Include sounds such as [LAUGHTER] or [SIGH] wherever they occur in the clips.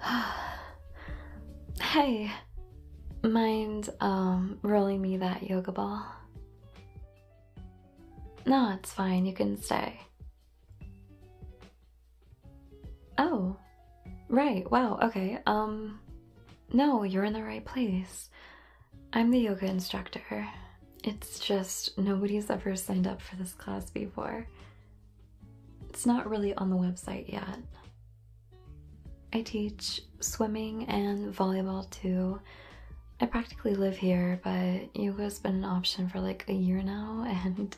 [SIGHS] hey, mind um, rolling me that yoga ball? No, it's fine. You can stay. Oh. Right. Wow. Okay. Um No, you're in the right place. I'm the yoga instructor. It's just nobody's ever signed up for this class before. It's not really on the website yet. I teach swimming and volleyball too. I practically live here, but yoga's been an option for like a year now, [LAUGHS] and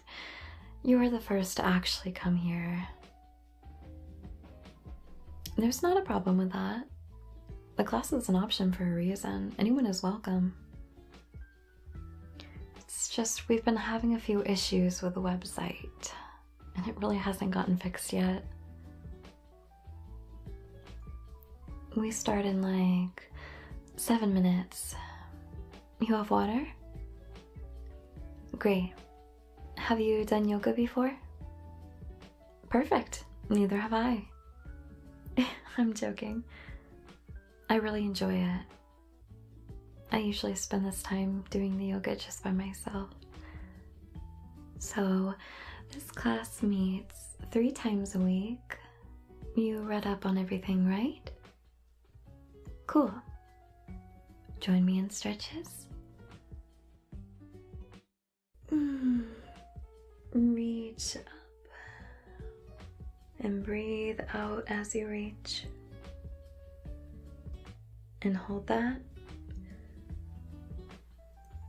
you are the first to actually come here. There's not a problem with that. The class is an option for a reason. Anyone is welcome. It's just we've been having a few issues with the website, and it really hasn't gotten fixed yet. We start in like seven minutes. You have water? Great. Have you done yoga before? Perfect. Neither have I. [LAUGHS] I'm joking. I really enjoy it. I usually spend this time doing the yoga just by myself. So, this class meets three times a week. You read up on everything, right? Cool. Join me in stretches. Mm. Reach and breathe out as you reach. And hold that.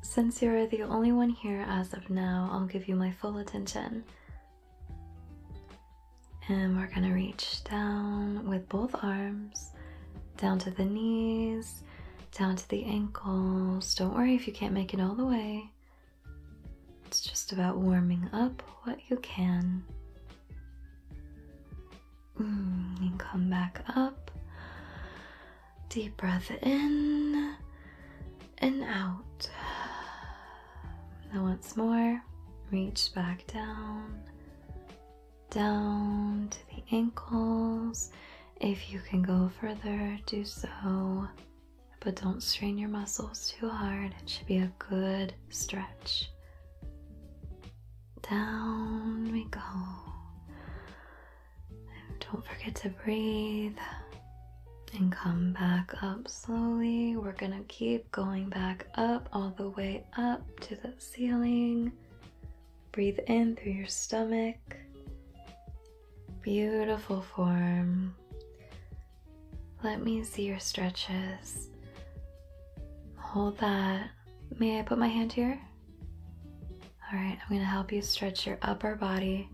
Since you're the only one here as of now, I'll give you my full attention. And we're gonna reach down with both arms, down to the knees, down to the ankles. Don't worry if you can't make it all the way. It's just about warming up what you can. Mm, and come back up. Deep breath in and out. Now, once more, reach back down, down to the ankles. If you can go further, do so but don't strain your muscles too hard. It should be a good stretch. Down we go. And don't forget to breathe and come back up slowly. We're gonna keep going back up all the way up to the ceiling. Breathe in through your stomach. Beautiful form. Let me see your stretches. Hold that. May I put my hand here? All right, I'm gonna help you stretch your upper body.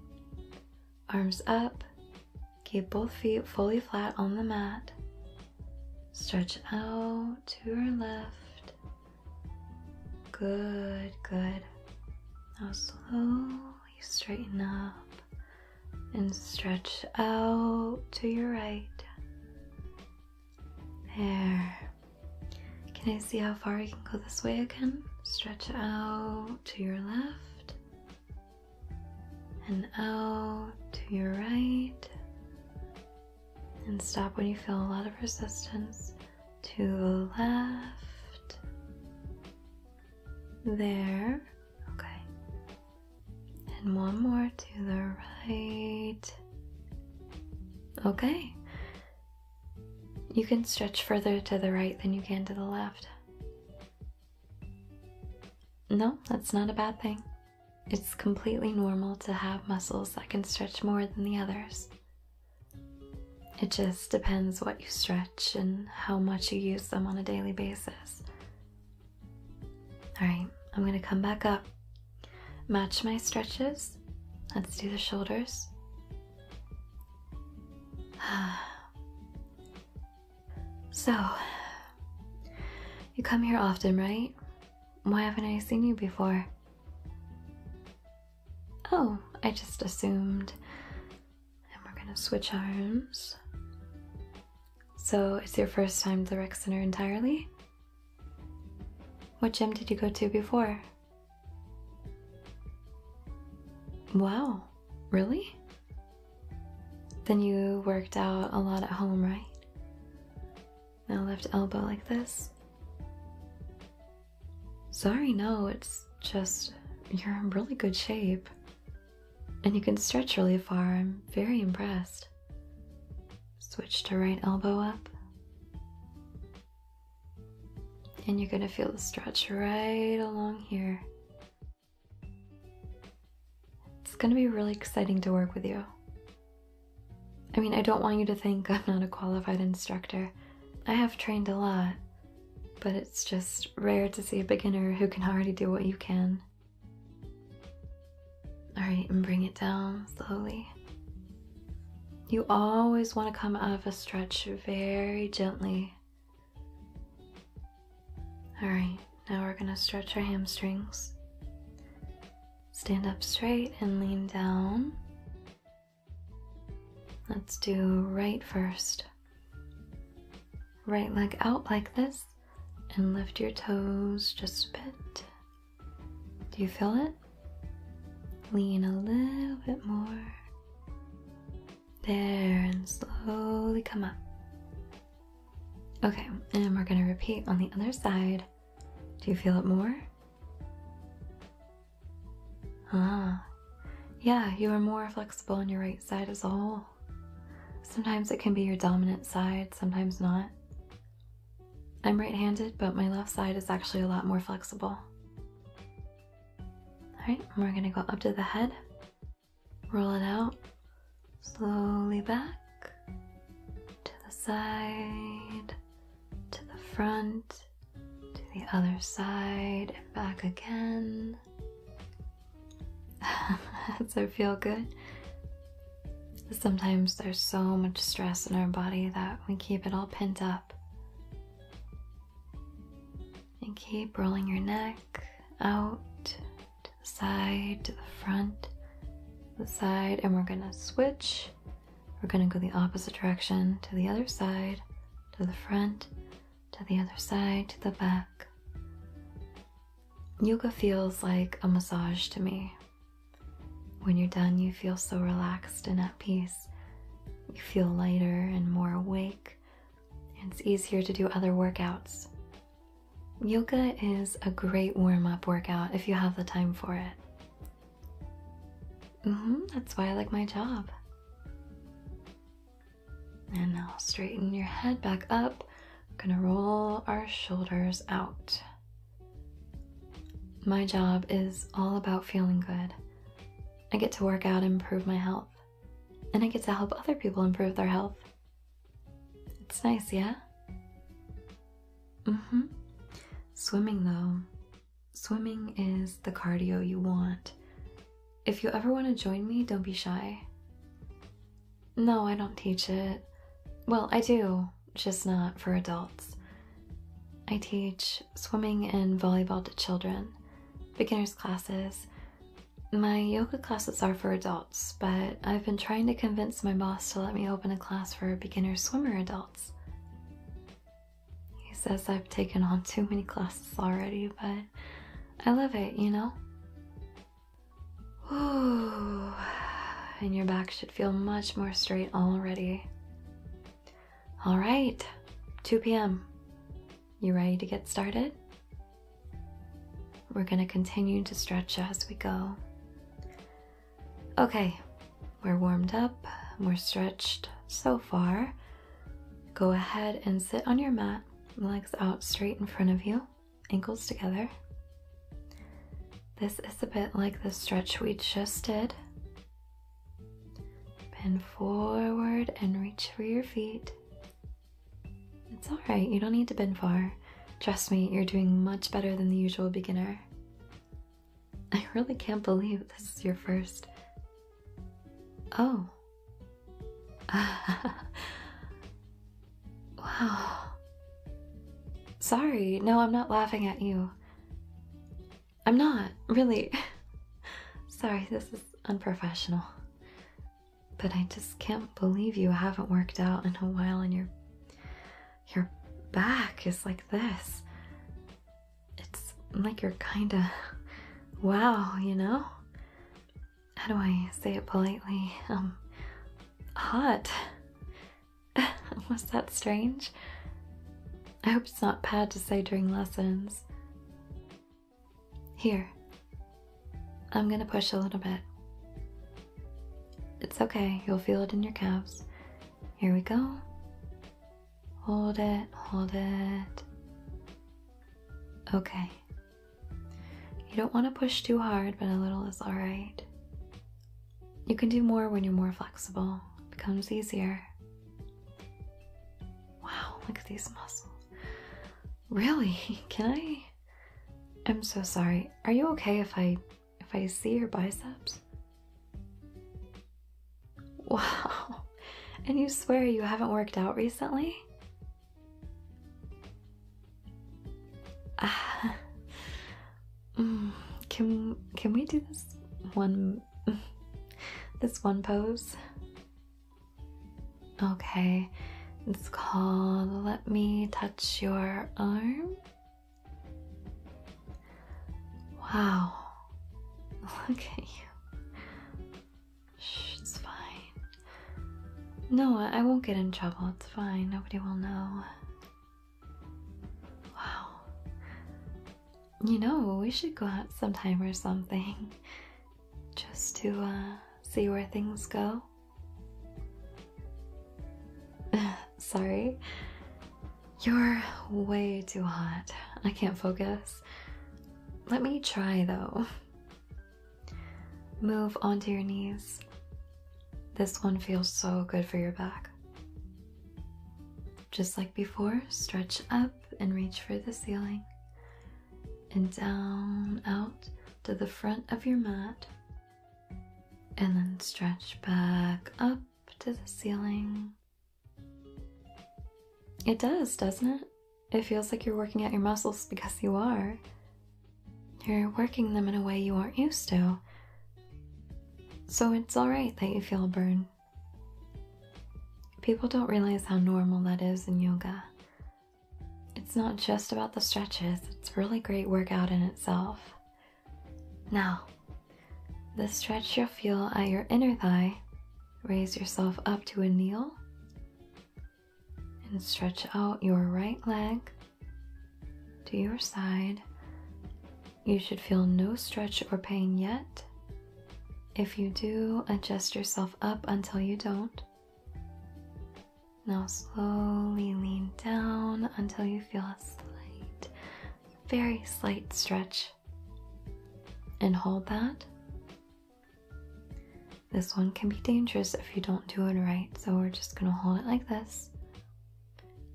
Arms up. Keep both feet fully flat on the mat. Stretch out to your left. Good, good. Now slow straighten up and stretch out to your right. There. Can I see how far you can go this way again? Stretch out to your left and out to your right. And stop when you feel a lot of resistance to the left. There. Okay. And one more to the right. Okay. You can stretch further to the right than you can to the left. No, that's not a bad thing. It's completely normal to have muscles that can stretch more than the others. It just depends what you stretch and how much you use them on a daily basis. Alright, I'm going to come back up. Match my stretches. Let's do the shoulders. [SIGHS] So, you come here often, right? Why haven't I seen you before? Oh, I just assumed and we're gonna switch arms. So it's your first time to the rec center entirely? What gym did you go to before? Wow, really? Then you worked out a lot at home, right? Now left elbow like this. Sorry, no, it's just you're in really good shape. And you can stretch really far. I'm very impressed. Switch to right elbow up. And you're going to feel the stretch right along here. It's going to be really exciting to work with you. I mean, I don't want you to think [LAUGHS] I'm not a qualified instructor. I have trained a lot, but it's just rare to see a beginner who can already do what you can. Alright, and bring it down slowly. You always want to come out of a stretch very gently. Alright, now we're going to stretch our hamstrings. Stand up straight and lean down. Let's do right first. Right leg out like this and lift your toes just a bit. Do you feel it? Lean a little bit more. There, and slowly come up. Okay, and we're going to repeat on the other side. Do you feel it more? Ah, yeah, you are more flexible on your right side as a whole. Sometimes it can be your dominant side, sometimes not. I'm right handed, but my left side is actually a lot more flexible. Alright, we're gonna go up to the head, roll it out, slowly back, to the side, to the front, to the other side, and back again. [LAUGHS] Does it feel good? Sometimes there's so much stress in our body that we keep it all pent up. And keep rolling your neck out to the side, to the front, to the side, and we're gonna switch. We're gonna go the opposite direction to the other side, to the front, to the other side, to the back. Yoga feels like a massage to me. When you're done, you feel so relaxed and at peace. You feel lighter and more awake. It's easier to do other workouts. Yoga is a great warm up workout if you have the time for it. Mm-hmm, that's why I like my job. And now straighten your head back up. We're gonna roll our shoulders out. My job is all about feeling good. I get to work out and improve my health. And I get to help other people improve their health. It's nice, yeah? hmm. Swimming, though. Swimming is the cardio you want. If you ever want to join me, don't be shy. No, I don't teach it. Well, I do, just not for adults. I teach swimming and volleyball to children, beginners classes. My yoga classes are for adults, but I've been trying to convince my boss to let me open a class for beginner swimmer adults. He says I've taken on too many classes already, but I love it, you know? [SIGHS] and your back should feel much more straight already. All right, 2 p.m. You ready to get started? We're gonna continue to stretch as we go. Okay, we're warmed up, we're stretched so far. Go ahead and sit on your mat legs out straight in front of you, ankles together. This is a bit like the stretch we just did. Bend forward and reach for your feet. It's alright, you don't need to bend far. Trust me, you're doing much better than the usual beginner. [LAUGHS] I really can't believe this is your first Oh. [LAUGHS] wow. Sorry, no, I'm not laughing at you. I'm not, really. [LAUGHS] Sorry, this is unprofessional. But I just can't believe you haven't worked out in a while and your your back is like this. It's like you're kinda wow, you know? how do I say it politely? Um, hot. [LAUGHS] Was that strange? I hope it's not bad to say during lessons. Here, I'm gonna push a little bit. It's okay, you'll feel it in your calves. Here we go. Hold it, hold it. Okay, you don't want to push too hard, but a little is alright. You can do more when you're more flexible, it becomes easier. Wow, look at these muscles. Really? [LAUGHS] Can I? I'm so sorry. Are you okay if I if I see your biceps? Wow. [LAUGHS] And you swear you haven't worked out recently? Uh, [LAUGHS] can can we do this one [LAUGHS] this one pose? Okay. It's called Let Me Touch Your Arm. Wow. [LAUGHS] Look at you it's fine. No, I won't get in trouble. It's fine. Nobody will know. Wow. You know, we should go out sometime or something. [LAUGHS] Just to uh, see where things go. [LAUGHS] Sorry. You're way too hot. I can't focus. Let me try though. Move onto your knees. This one feels so good for your back. Just like before, stretch up and reach for the ceiling. And down, out to the front of your mat. And then stretch back up to the ceiling. It does, doesn't it? It feels like you're working out your muscles because you are. You're working them in a way you aren't used to. So it's alright that you feel a burn. People don't realize how normal that is in yoga. It's not just about the stretches, it's really great workout in itself. Now, the stretch you'll feel at your inner thigh, raise yourself up to a kneel and stretch out your right leg to your side. You should feel no stretch or pain yet. If you do, adjust yourself up until you don't. Now slowly lean down until you feel a slight, very slight stretch. And hold that this one can be dangerous if you don't do it right, so we're just going to hold it like this.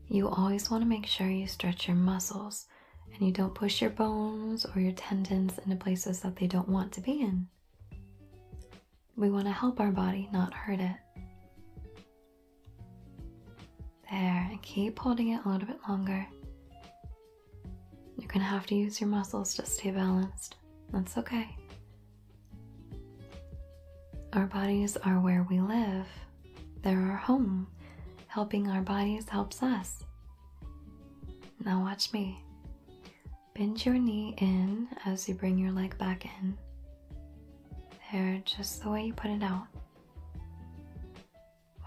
You always want to make sure you stretch your muscles and you don't push your bones or your tendons into places that they don't want to be in. We want to help our body, not hurt it. There, and keep holding it a little bit longer. You're gonna have to use your muscles to stay balanced. That's okay. Our bodies are where we live, they're our home. Helping our bodies helps us. Now, watch me. Bend your knee in as you bring your leg back in. There, just the way you put it out.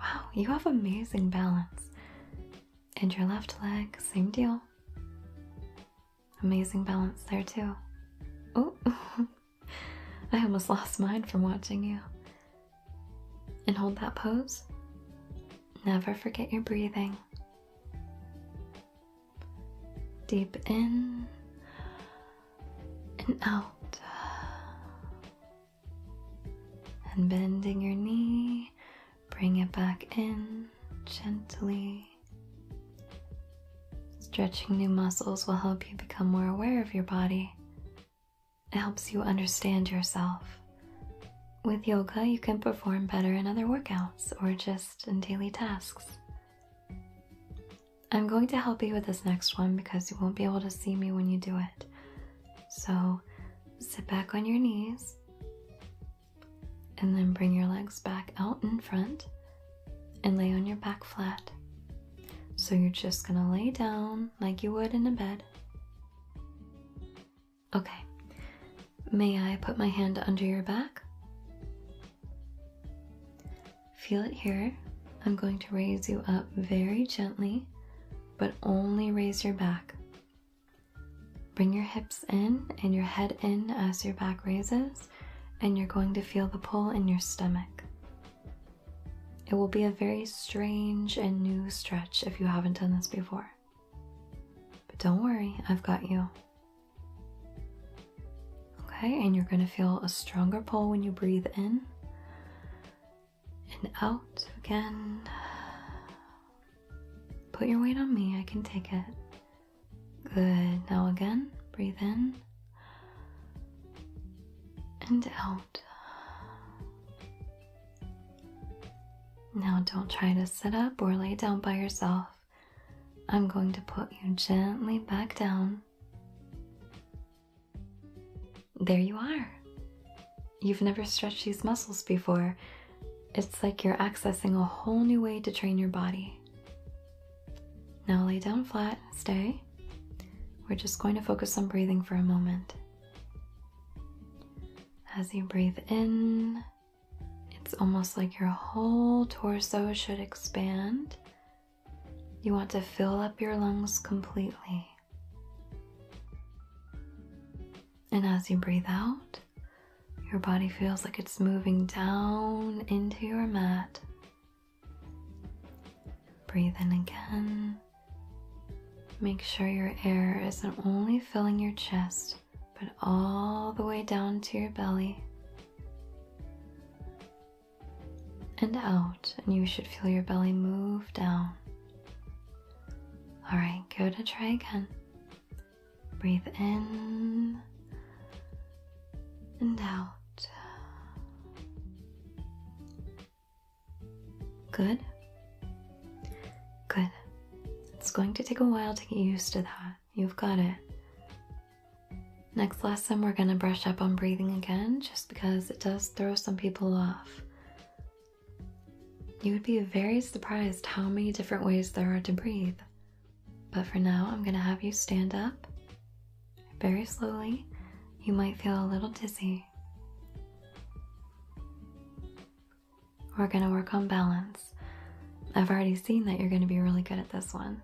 Wow, you have amazing balance. And your left leg, same deal. Amazing balance there, too. Oh, [LAUGHS] I almost lost mine from watching you. And hold that pose. Never forget your breathing. Deep in and out. And bending your knee, Bring it back in gently. Stretching new muscles will help you become more aware of your body. It helps you understand yourself. With yoga, you can perform better in other workouts or just in daily tasks. I'm going to help you with this next one because you won't be able to see me when you do it. So sit back on your knees and then bring your legs back out in front and lay on your back flat. So you're just gonna lay down like you would in a bed. Okay, may I put my hand under your back? Feel it here. I'm going to raise you up very gently, but only raise your back. Bring your hips in and your head in as your back raises, and you're going to feel the pull in your stomach. It will be a very strange and new stretch if you haven't done this before. But don't worry, I've got you. Okay, and you're going to feel a stronger pull when you breathe in and out again. Put your weight on me, I can take it. Good. Now again, breathe in and out. Now don't try to sit up or lay down by yourself. I'm going to put you gently back down. There you are. You've never stretched these muscles before. It's like you're accessing a whole new way to train your body. Now lay down flat, stay. We're just going to focus on breathing for a moment. As you breathe in, it's almost like your whole torso should expand. You want to fill up your lungs completely. And as you breathe out, your body feels like it's moving down into your mat. Breathe in again. Make sure your air isn't only filling your chest, but all the way down to your belly. And out, and you should feel your belly move down. All right, go to try again. Breathe in and out. Good. Good. It's going to take a while to get used to that. You've got it. Next lesson, we're going to brush up on breathing again just because it does throw some people off. You would be very surprised how many different ways there are to breathe. But for now, I'm going to have you stand up very slowly. You might feel a little dizzy. We're going to work on balance. I've already seen that you're going to be really good at this one.